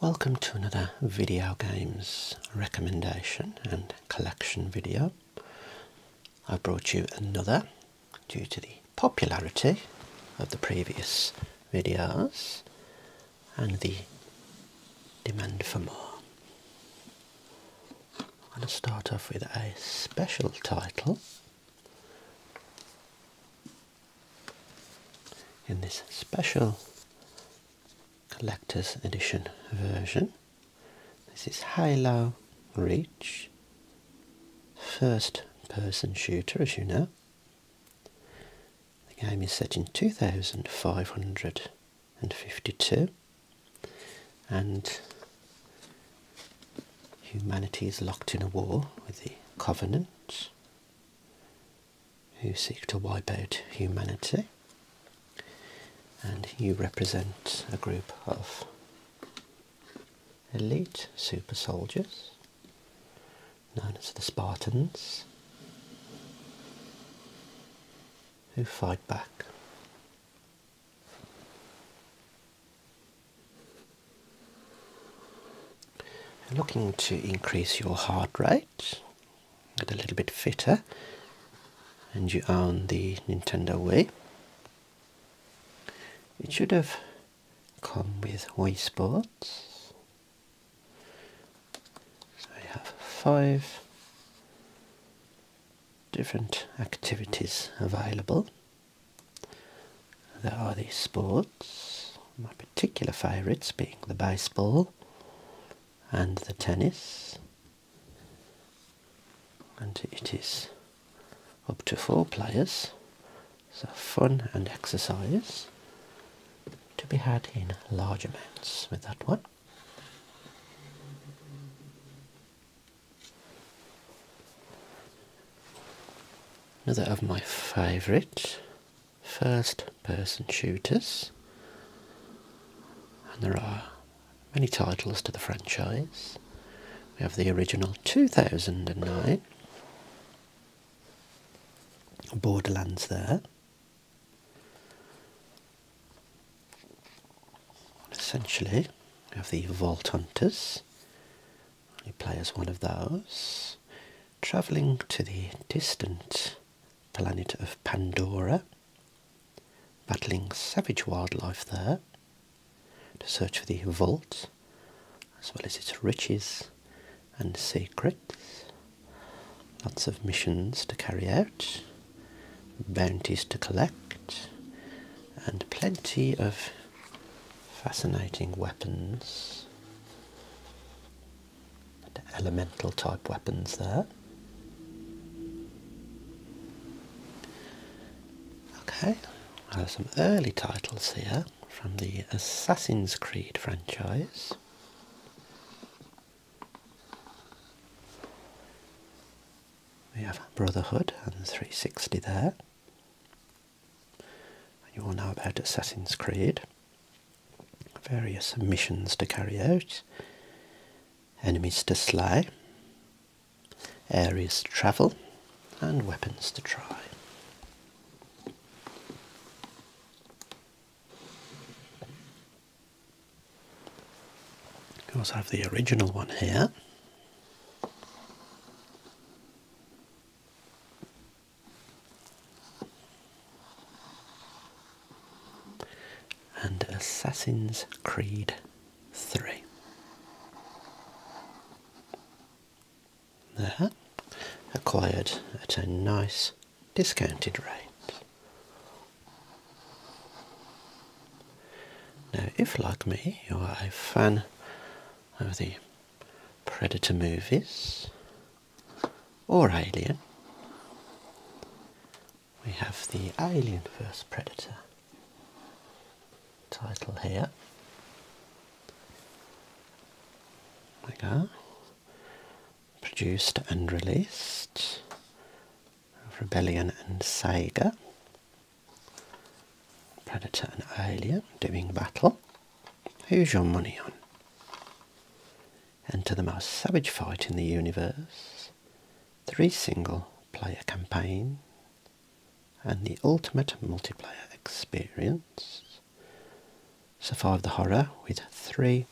Welcome to another video games recommendation and collection video. I brought you another due to the popularity of the previous videos and the demand for more. I'm going to start off with a special title in this special collector's edition version. This is Halo Reach, first person shooter as you know. The game is set in 2552 and humanity is locked in a war with the Covenant who seek to wipe out humanity, and you represent a group of elite super soldiers known as the Spartans who fight back. Looking to increase your heart rate, get a little bit fitter, and you own the Nintendo Wii. It should have come with Wii Sports. So I have five different activities available there are these sports, my particular favourites being the baseball and the tennis. And it is up to four players, so fun and exercise to be had in large amounts with that one. Another of my favourite first person shooters, and there are many titles to the franchise. We have the original 2009, Borderlands there. Essentially, we have the Vault Hunters. You play as one of those travelling to the distant planet of Pandora, battling savage wildlife there to search for the vault as well as its riches and secrets. Lots of missions to carry out, bounties to collect, and plenty of fascinating weapons elemental type weapons there. Okay, some early titles here from the Assassin's Creed franchise. We have Brotherhood and 360 there. You all now about Assassin's Creed, various missions to carry out, enemies to slay, areas to travel, and weapons to try. We also have the original one here and Assassin's Creed 3. acquired at a nice discounted rate. Now, if like me you are a fan of the Predator movies or Alien. We have the Alien vs Predator title here. we go. Produced and released. Rebellion and Sega. Predator and Alien doing battle. Who's your money on? Enter the most savage fight in the universe, three single player campaign, and the ultimate multiplayer experience. Survive the horror with three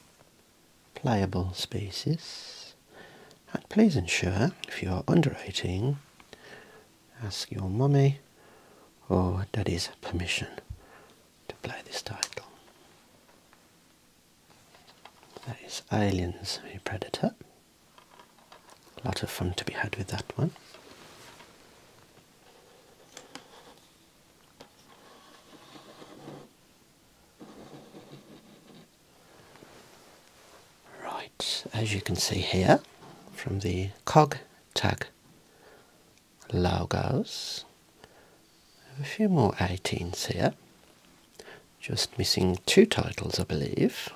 playable species. And please ensure, if you are under 18, ask your mummy or daddy's permission to play this title. That is Aliens v Predator. A lot of fun to be had with that one. Right, as you can see here from the cog tag logos. A few more 18s here. Just missing two titles, I believe.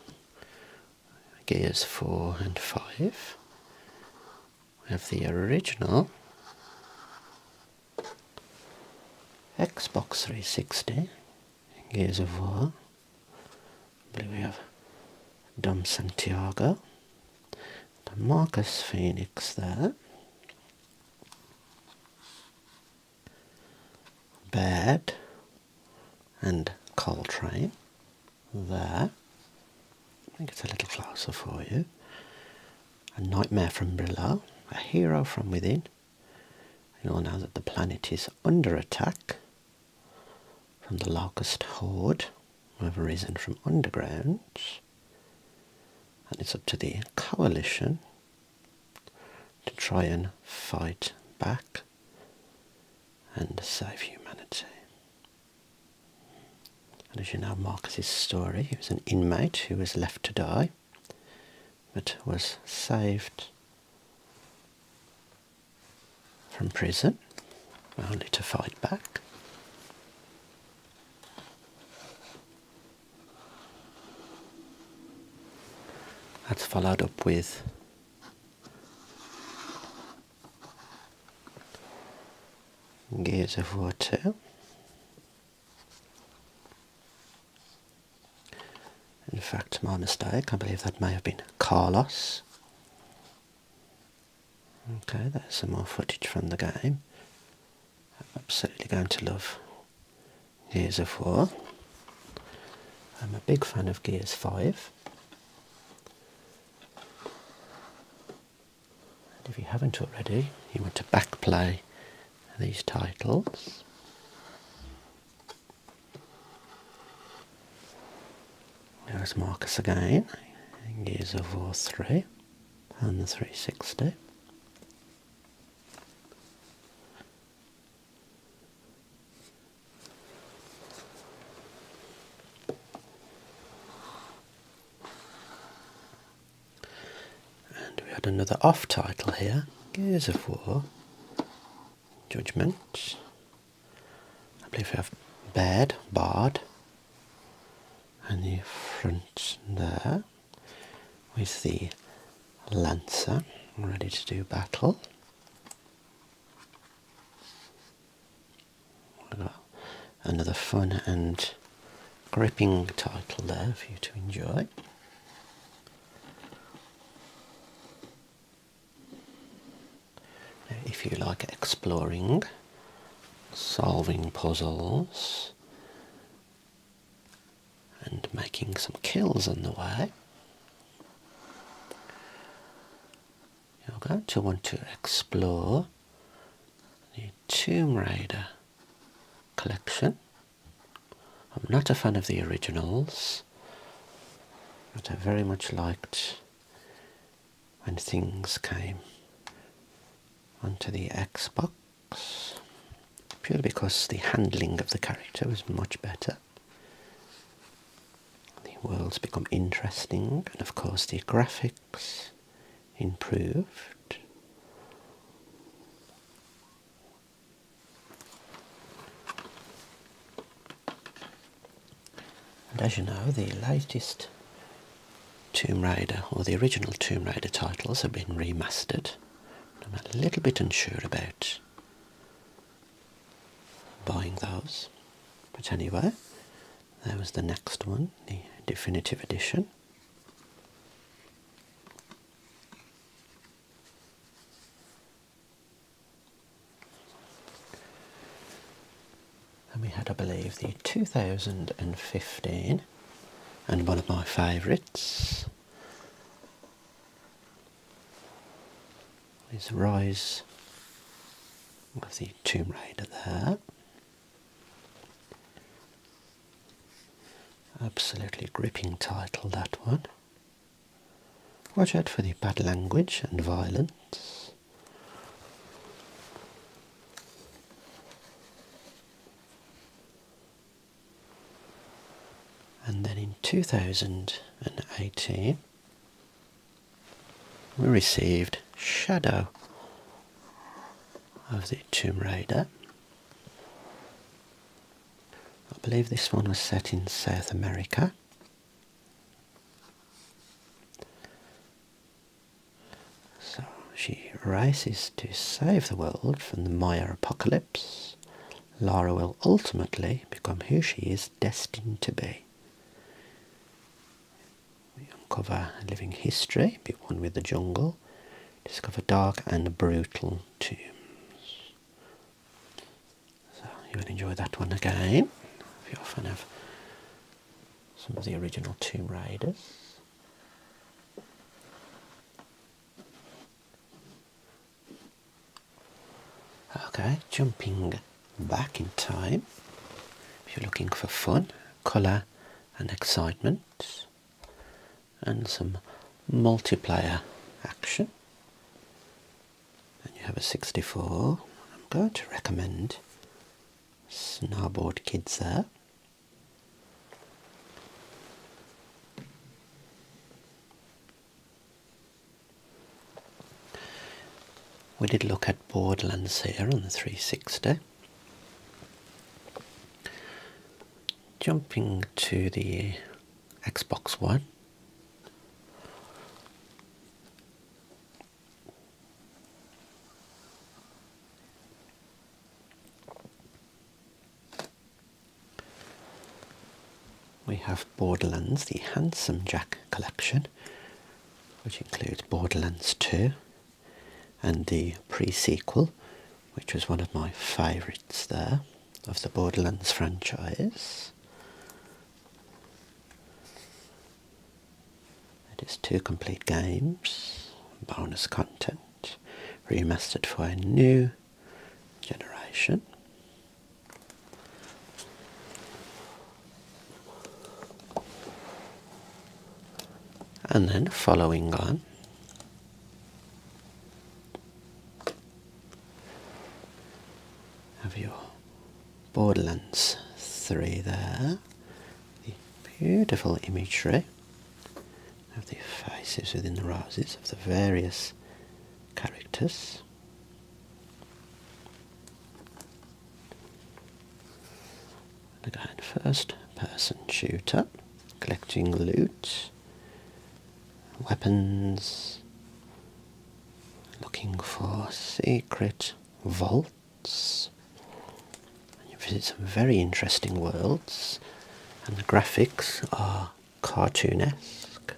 Gears 4 and 5. We have the original Xbox 360, Gears of War, I believe we have Dom Santiago, Marcus Phoenix there. Bad, and Coltrane there. I think it's a little closer for you. A nightmare from below, a hero from within. You all now that the planet is under attack from the Locust Horde, have arisen from underground, and it's up to the coalition to try and fight back and save humanity. And as you know, Marcus's story, he was an inmate who was left to die, but was saved from prison, only to fight back. That's followed up with Gears of water. In fact, my mistake, I believe that may have been Carlos Okay, there's some more footage from the game. I'm absolutely going to love Gears of War. I'm a big fan of Gears 5. And if you haven't already, you want to back play these titles. There's Marcus again, Gears of War 3 and the 360. And we had another off title here, Gears of War, Judgment. I believe we have bed, barred, and the front there with the lancer ready to do battle. Another fun and gripping title there for you to enjoy if you like exploring, solving puzzles, and making some kills on the way, you're going to want to explore the Tomb Raider collection. I'm not a fan of the originals, that I very much liked when things came onto the Xbox purely because the handling of the character was much better. The worlds become interesting and of course the graphics improved. And as you know, the latest Tomb Raider, or the original Tomb Raider titles, have been remastered. I'm a little bit unsure about buying those. But anyway, there was the next one, the definitive edition. And we had, I believe, the 2015 and one of my favourites is Rise with the Tomb Raider there. Absolutely gripping title that one. Watch out for the bad language and violence. And then in 2018, we received Shadow of the Tomb Raider. I believe this one was set in South America. So she races to save the world from the Maya apocalypse. Lara will ultimately become who she is destined to be. We uncover living history, be one with the jungle, discover dark and brutal tombs. So you will enjoy that one again. If you're a fan of some of the original Tomb Raiders. Okay, jumping back in time. If you're looking for fun, colour and excitement and some multiplayer action and you have a 64. I'm going to recommend Snowboard Kids there. We did look at Borderlands here on the 360. Jumping to the Xbox One, we have Borderlands, the Handsome Jack collection, which includes Borderlands 2 and the prequel, which was one of my favourites there of the Borderlands franchise. It is two complete games, bonus content, remastered for a new generation. And then following on have your Borderlands 3 there. The beautiful imagery of the faces within the roses of the various characters. The first person shooter, collecting loot. Weapons. Looking for secret vaults. You visit some very interesting worlds, and the graphics are cartoonesque.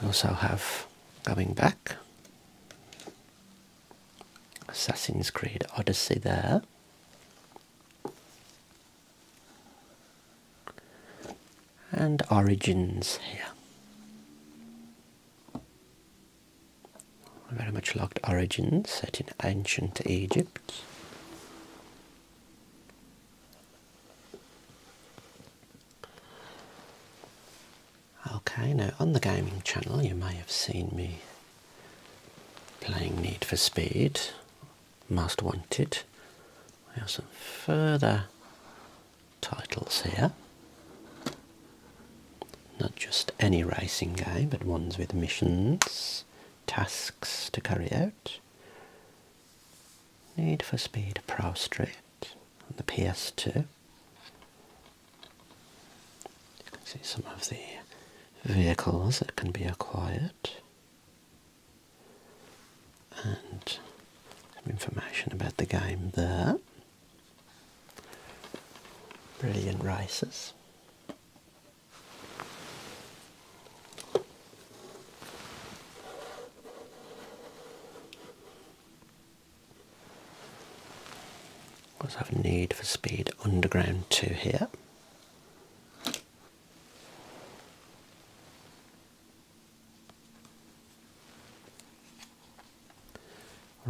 We also have going back Assassin's Creed Odyssey there. And Origins here. very much liked Origins, set in ancient Egypt. Okay, now on the gaming channel you may have seen me playing Need for Speed, Most Wanted. We have some further titles here. Not just any racing game, but ones with missions, tasks to carry out. Need for Speed Pro Street on the PS2 see some of the vehicles that can be acquired and some information about the game there. Brilliant races. Also have need for speed underground 2 here.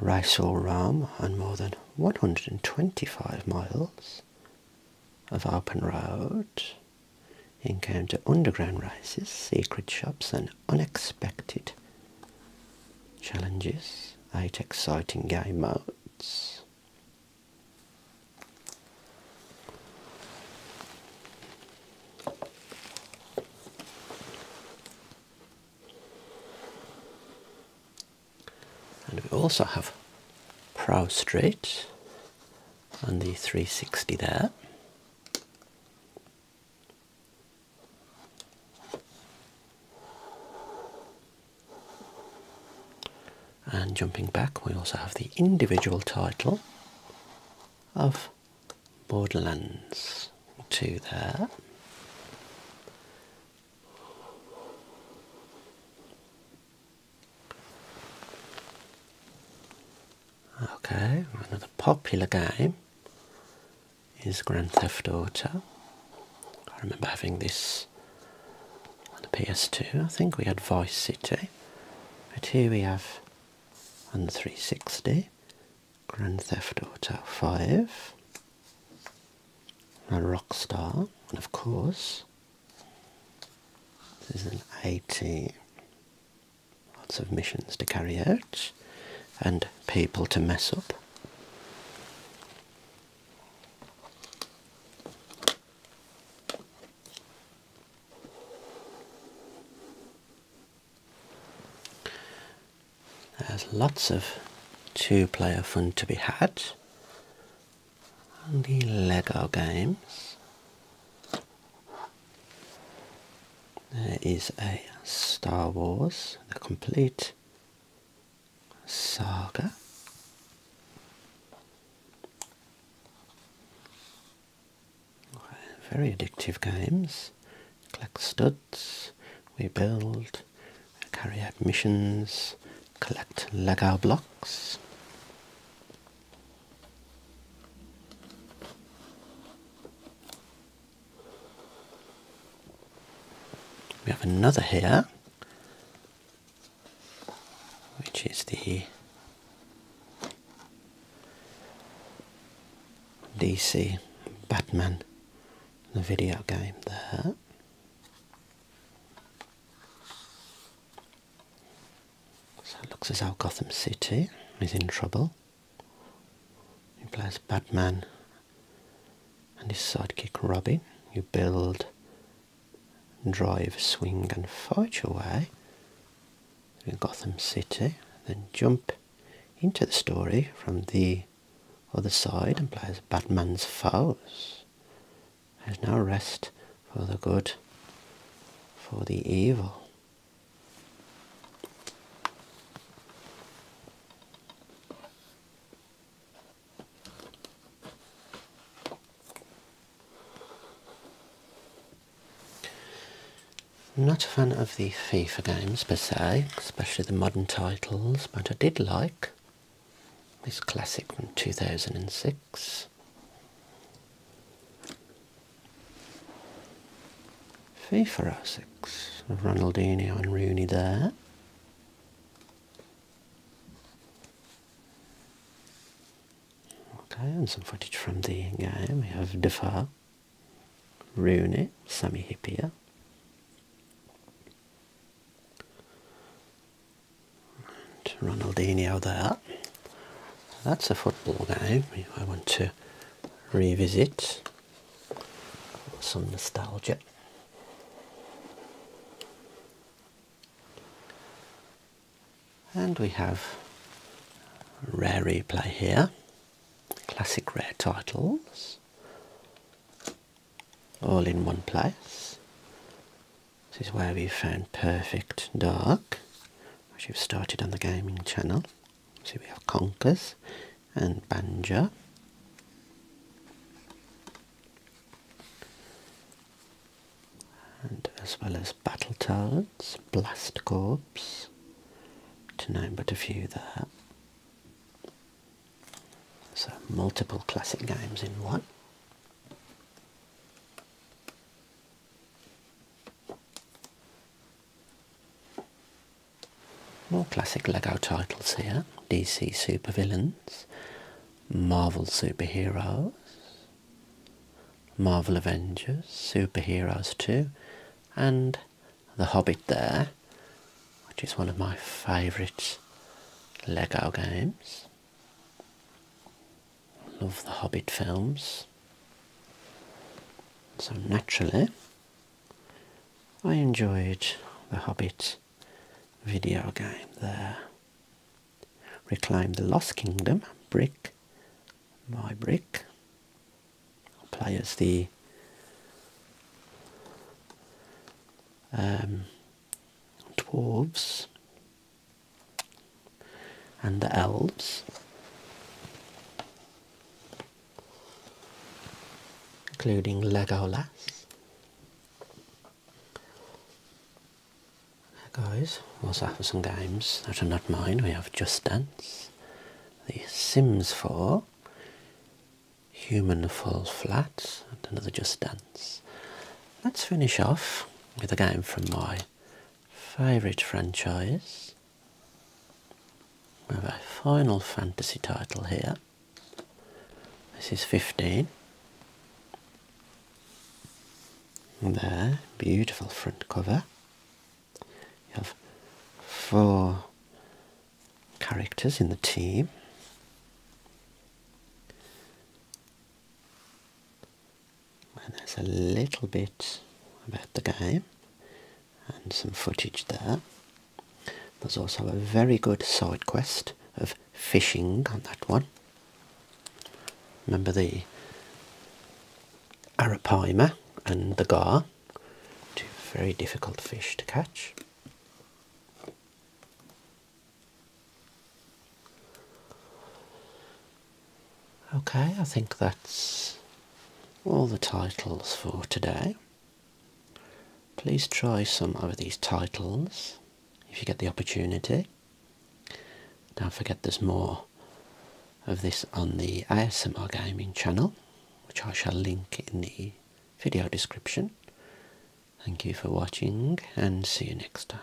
Raisal Ram on more than 125 miles of open road. Encounter underground races, secret shops and unexpected challenges, 8 exciting game modes. And we also have Prow Street and the 360 there. And jumping back, we also have the individual title of Borderlands 2 there. Okay, another popular game is Grand Theft Auto. I remember having this on the PS2. I think we had Vice City. But here we have on the 360 Grand Theft Auto 5. A Rockstar, and of course, there's an 80 Lots of missions to carry out and people to mess up. There's lots of two player fun to be had. And the Lego games. There is a Star Wars, the complete saga. Very addictive games. Collect studs, we build, carry out missions, collect Lego blocks. We have another here, which is the DC Batman, the video game there. So it looks as though Gotham City is in trouble. You play as Batman and his sidekick Robin. You build, drive, swing, and fight your way through Gotham City, then jump into the story from the other side and as Batman's foes. There's no rest for the good, for the evil. I'm not a fan of the FIFA games per se, especially the modern titles, but I did like this classic from 2006. Fee for Essex. Ronaldinho and Rooney there. Okay, and some footage from the game. We have Defoe, Rooney, Sami Hipia, And Ronaldinho there that's a football game I want to revisit some nostalgia. And we have rare replay here, classic rare titles, all in one place. This is where we found Perfect Dark, which we've started on the gaming channel. So we have Conkers and Banjo. And as well as Battle Battletoads, Blast Corps, to name but a few there. So multiple classic games in one. More classic LEGO titles here. DC Supervillains, Marvel Superheroes, Marvel Avengers, Superheroes 2, and The Hobbit there, which is one of my favourite LEGO games love the Hobbit films. So naturally, I enjoyed the Hobbit video game there. Reclaim the Lost Kingdom, brick my brick. i the um, dwarves and the elves including Legolas. Guys, we also have some games that are not mine. We have Just Dance, The Sims 4, Human Fall Flat, and another Just Dance. Let's finish off with a game from my favourite franchise. We have a Final Fantasy title here. This is 15. And there, beautiful front cover. You have four characters in the team and there's a little bit about the game and some footage there. There's also a very good side quest of fishing on that one. Remember the arapaima and the gar, two very difficult fish to catch. Okay, I think that's all the titles for today. Please try some of these titles if you get the opportunity. Don't forget there's more of this on the ASMR Gaming channel, which I shall link in the video description. Thank you for watching and see you next time.